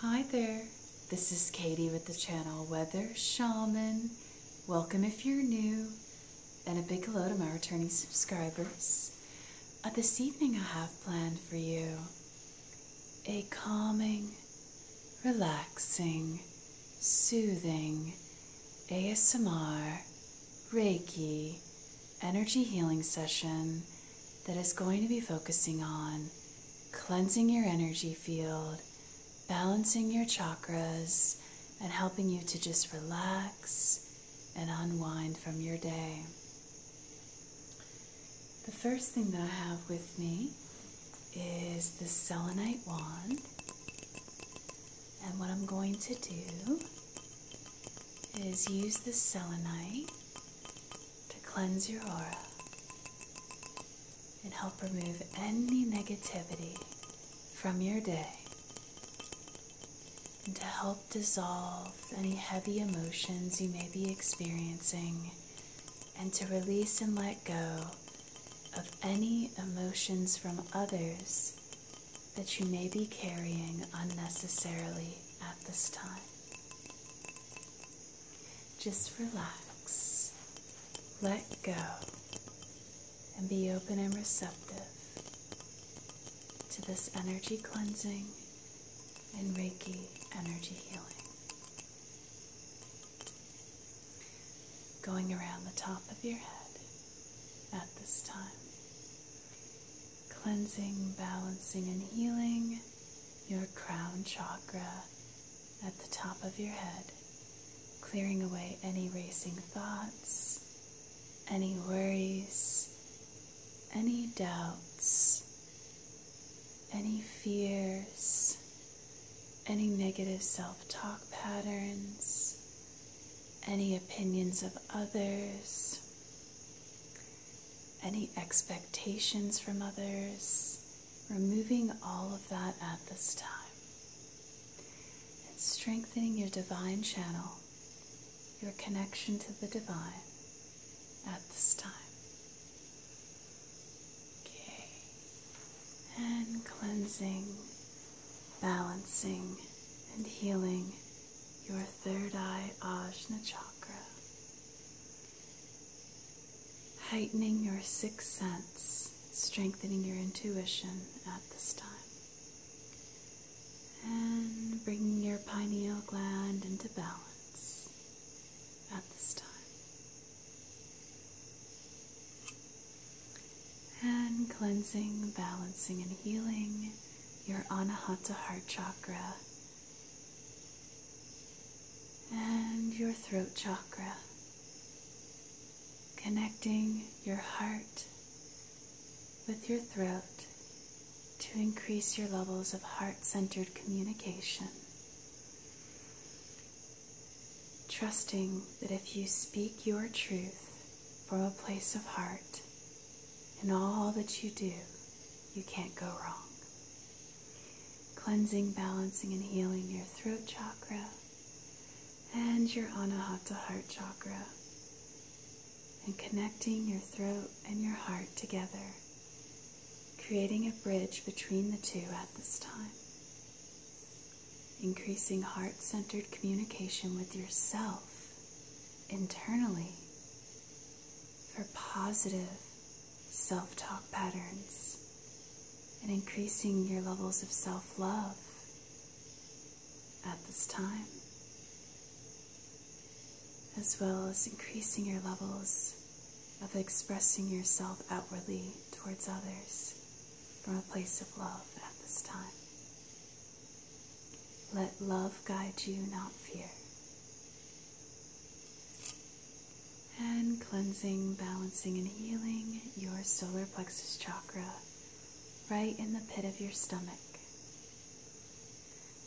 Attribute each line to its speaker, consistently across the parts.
Speaker 1: Hi there, this is Katie with the channel Weather Shaman. Welcome if you're new, and a big hello to my returning subscribers. Uh, this evening I have planned for you a calming, relaxing, soothing ASMR Reiki energy healing session that is going to be focusing on cleansing your energy field, balancing your chakras, and helping you to just relax and unwind from your day. The first thing that I have with me is the selenite wand. And what I'm going to do is use the selenite to cleanse your aura and help remove any negativity from your day and to help dissolve any heavy emotions you may be experiencing and to release and let go of any emotions from others that you may be carrying unnecessarily at this time. Just relax, let go, and be open and receptive to this energy cleansing and Reiki energy healing. Going around the top of your head at this time, cleansing, balancing, and healing your crown chakra at the top of your head, clearing away any racing thoughts, any worries, any doubts, any fears, any negative self talk patterns, any opinions of others, any expectations from others, removing all of that at this time, and strengthening your divine channel, your connection to the divine at this time. Okay, and cleansing, balancing, and healing your third eye ajna chakra heightening your sixth sense, strengthening your intuition at this time. And bringing your pineal gland into balance at this time. And cleansing, balancing, and healing your Anahata heart chakra and your throat chakra, connecting your heart with your throat to increase your levels of heart centered communication. Trusting that if you speak your truth from a place of heart in all that you do, you can't go wrong. Cleansing, balancing, and healing your throat chakra and your anahata heart chakra, and connecting your throat and your heart together, creating a bridge between the two at this time. Increasing heart centered communication with yourself internally for positive self talk patterns and increasing your levels of self love at this time, as well as increasing your levels of expressing yourself outwardly towards others from a place of love at this time. Let love guide you, not fear. And cleansing, balancing, and healing your solar plexus chakra right in the pit of your stomach.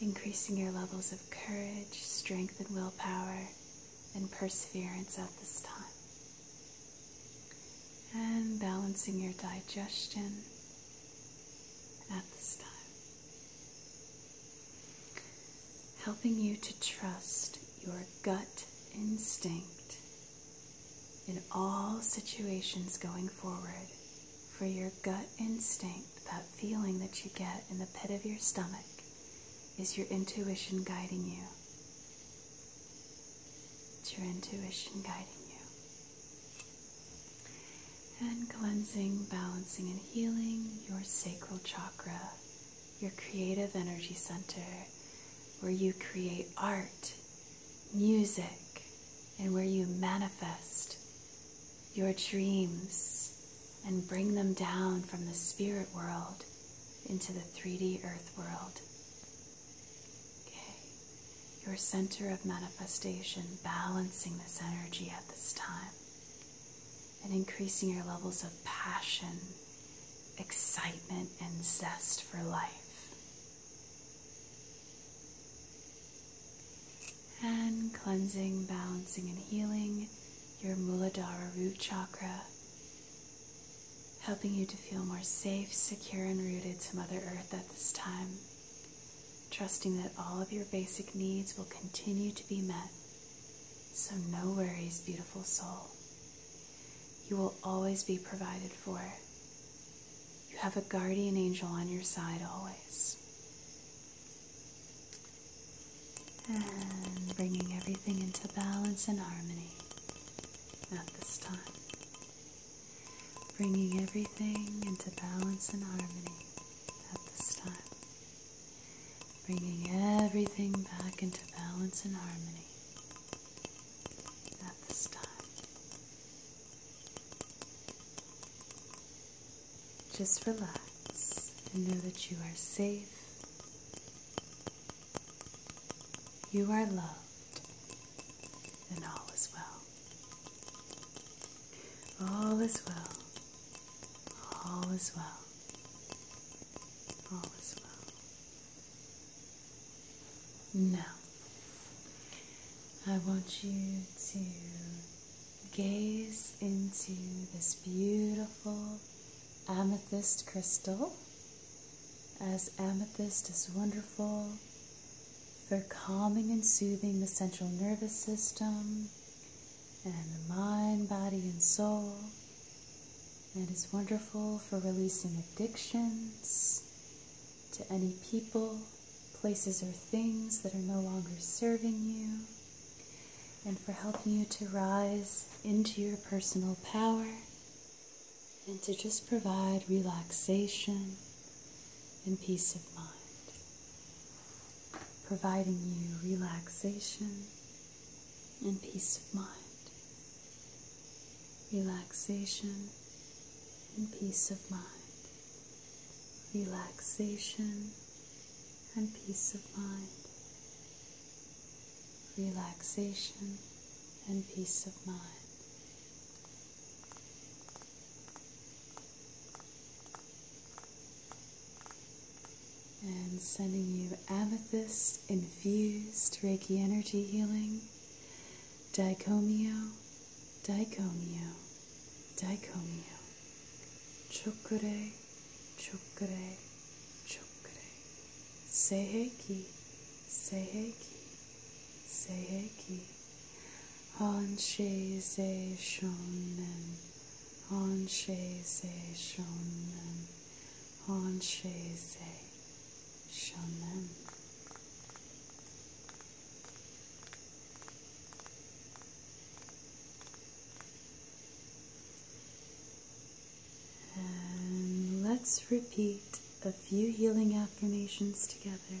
Speaker 1: Increasing your levels of courage, strength, and willpower, and perseverance at this time. And balancing your digestion at this time helping you to trust your gut instinct in all situations going forward. For your gut instinct, that feeling that you get in the pit of your stomach, is your intuition guiding you. It's your intuition guiding you. And cleansing, balancing, and healing your sacral chakra, your creative energy center, where you create art, music, and where you manifest your dreams and bring them down from the spirit world into the 3D earth world. Okay your center of manifestation, balancing this energy at this time and increasing your levels of passion, excitement, and zest for life. And cleansing, balancing, and healing your Muladhara root chakra, helping you to feel more safe, secure, and rooted to Mother Earth at this time trusting that all of your basic needs will continue to be met. So, no worries, beautiful soul. You will always be provided for. You have a guardian angel on your side always. And bringing everything into balance and harmony at this time bringing everything into balance and harmony at this time. Bringing everything back into balance and harmony at this time. Just relax and know that you are safe. You are loved, and all is well. All is well. All is well. All is well. Now, I want you to gaze into this beautiful amethyst crystal. As amethyst is wonderful for calming and soothing the central nervous system and the mind, body, and soul. And is wonderful for releasing addictions to any people, places, or things that are no longer serving you, and for helping you to rise into your personal power and to just provide relaxation and peace of mind, providing you relaxation and peace of mind. Relaxation and peace of mind. Relaxation and peace of mind. Relaxation and peace of mind. And sending you amethyst infused Reiki energy healing, dicomio, dicomio, dicomio, chokure, chokure, chokure, seiheki, seiheki, seiheki. Hanshe Se Shonen, Hanshe Se Shonen, And let's repeat a few healing affirmations together.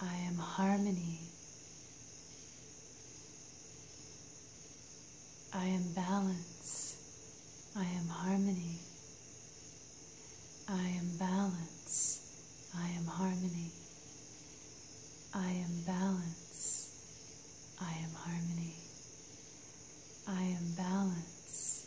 Speaker 1: I am harmony. I am balance. I am harmony. I am balance. I am harmony. I am balance. I am harmony. I am balance.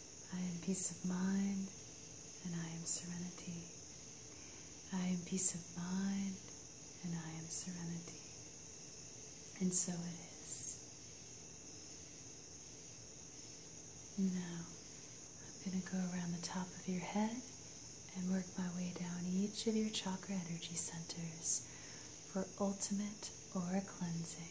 Speaker 1: I am peace of mind and I am serenity. I am peace of mind and I am serenity. And so it is. Now, I'm going to go around the top of your head and work my way down each of your chakra energy centers for ultimate aura cleansing.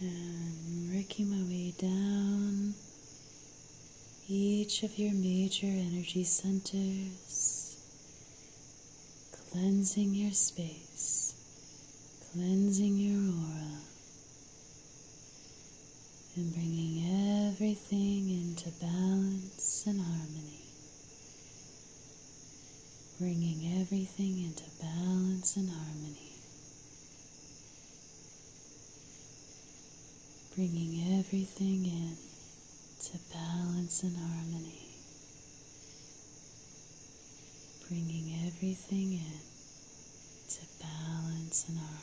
Speaker 1: And working my way down each of your major energy centers, cleansing your space, cleansing your aura, and bringing everything into balance and harmony bringing everything into balance and harmony, bringing everything in to balance and harmony, bringing everything in to balance and harmony.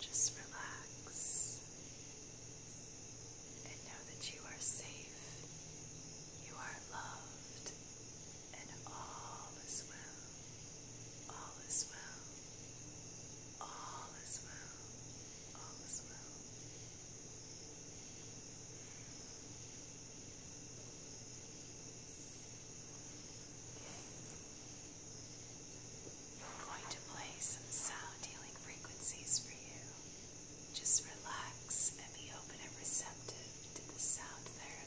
Speaker 1: Just relax and know that you are safe, you are loved, and all is well. All is well. All is well. All is well. I'm going to play some sound healing frequencies for you. Just relax and be open and receptive to the sound therapy.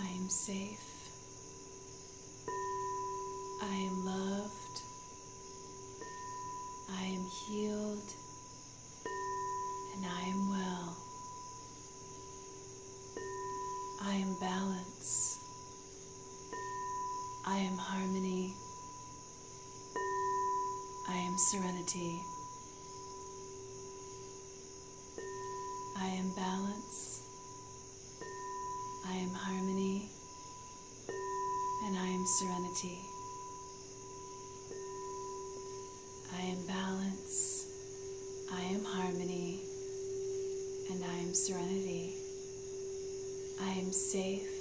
Speaker 1: I am safe. I am loved. I am healed. And I am well. I am balanced. I am harmony. I am serenity. I am balance. I am harmony. And I am serenity. I am balance. I am harmony. And I am serenity. I am safe.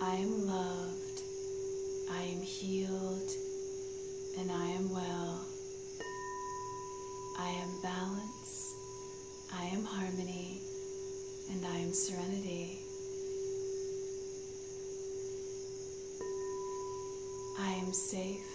Speaker 1: I am loved. I am healed. And I am well. I am balance. I am harmony. And I am serenity. I am safe.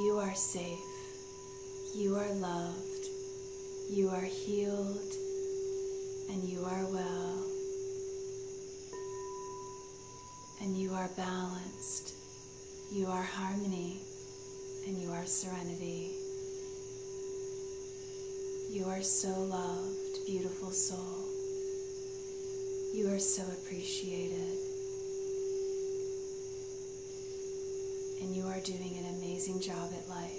Speaker 1: You are safe. You are loved. You are healed. And you are well. And you are balanced. You are harmony. And you are serenity. You are so loved, beautiful soul. You are so appreciated. And you are doing an amazing job at life.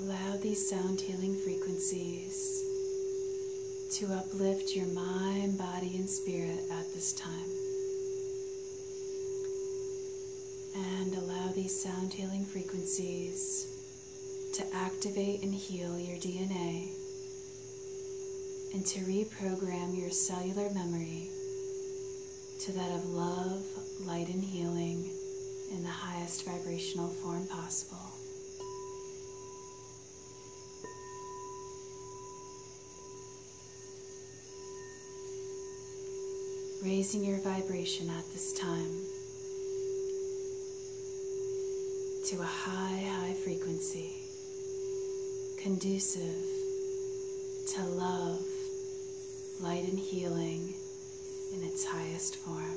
Speaker 1: Allow these sound healing frequencies to uplift your mind, body, and spirit at this time. And allow these sound healing frequencies to activate and heal your DNA and to reprogram your cellular memory to that of love, light, and healing in the highest vibrational form possible. Raising your vibration at this time to a high, high frequency conducive to love, light, and healing in its highest form.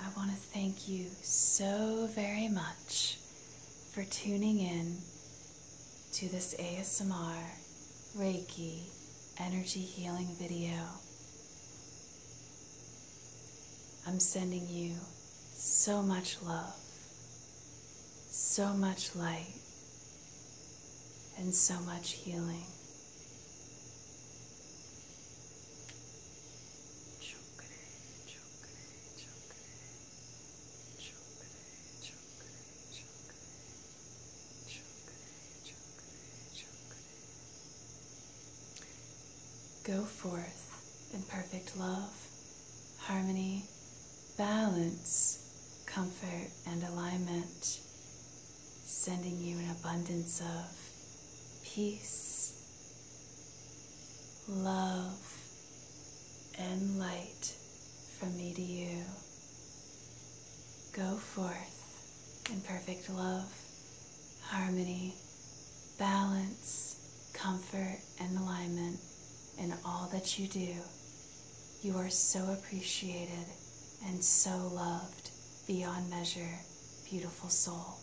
Speaker 1: I want to thank you so very much for tuning in to this ASMR Reiki energy healing video. I'm sending you so much love, so much light, and so much healing. Chokre, chokre, chokre, chokre, chokre, chokre, chokre, chokre, chokre. Go forth in perfect love, harmony, balance, comfort, and alignment sending you an abundance of peace, love, and light from me to you. Go forth in perfect love, harmony, balance, comfort, and alignment in all that you do. You are so appreciated and so loved beyond measure beautiful soul.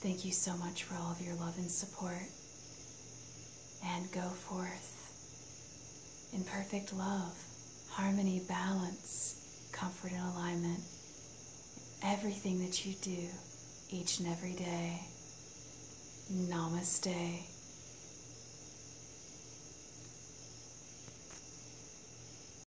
Speaker 1: Thank you so much for all of your love and support. And go forth in perfect love, harmony, balance, comfort, and alignment. Everything that you do each and every day. Namaste.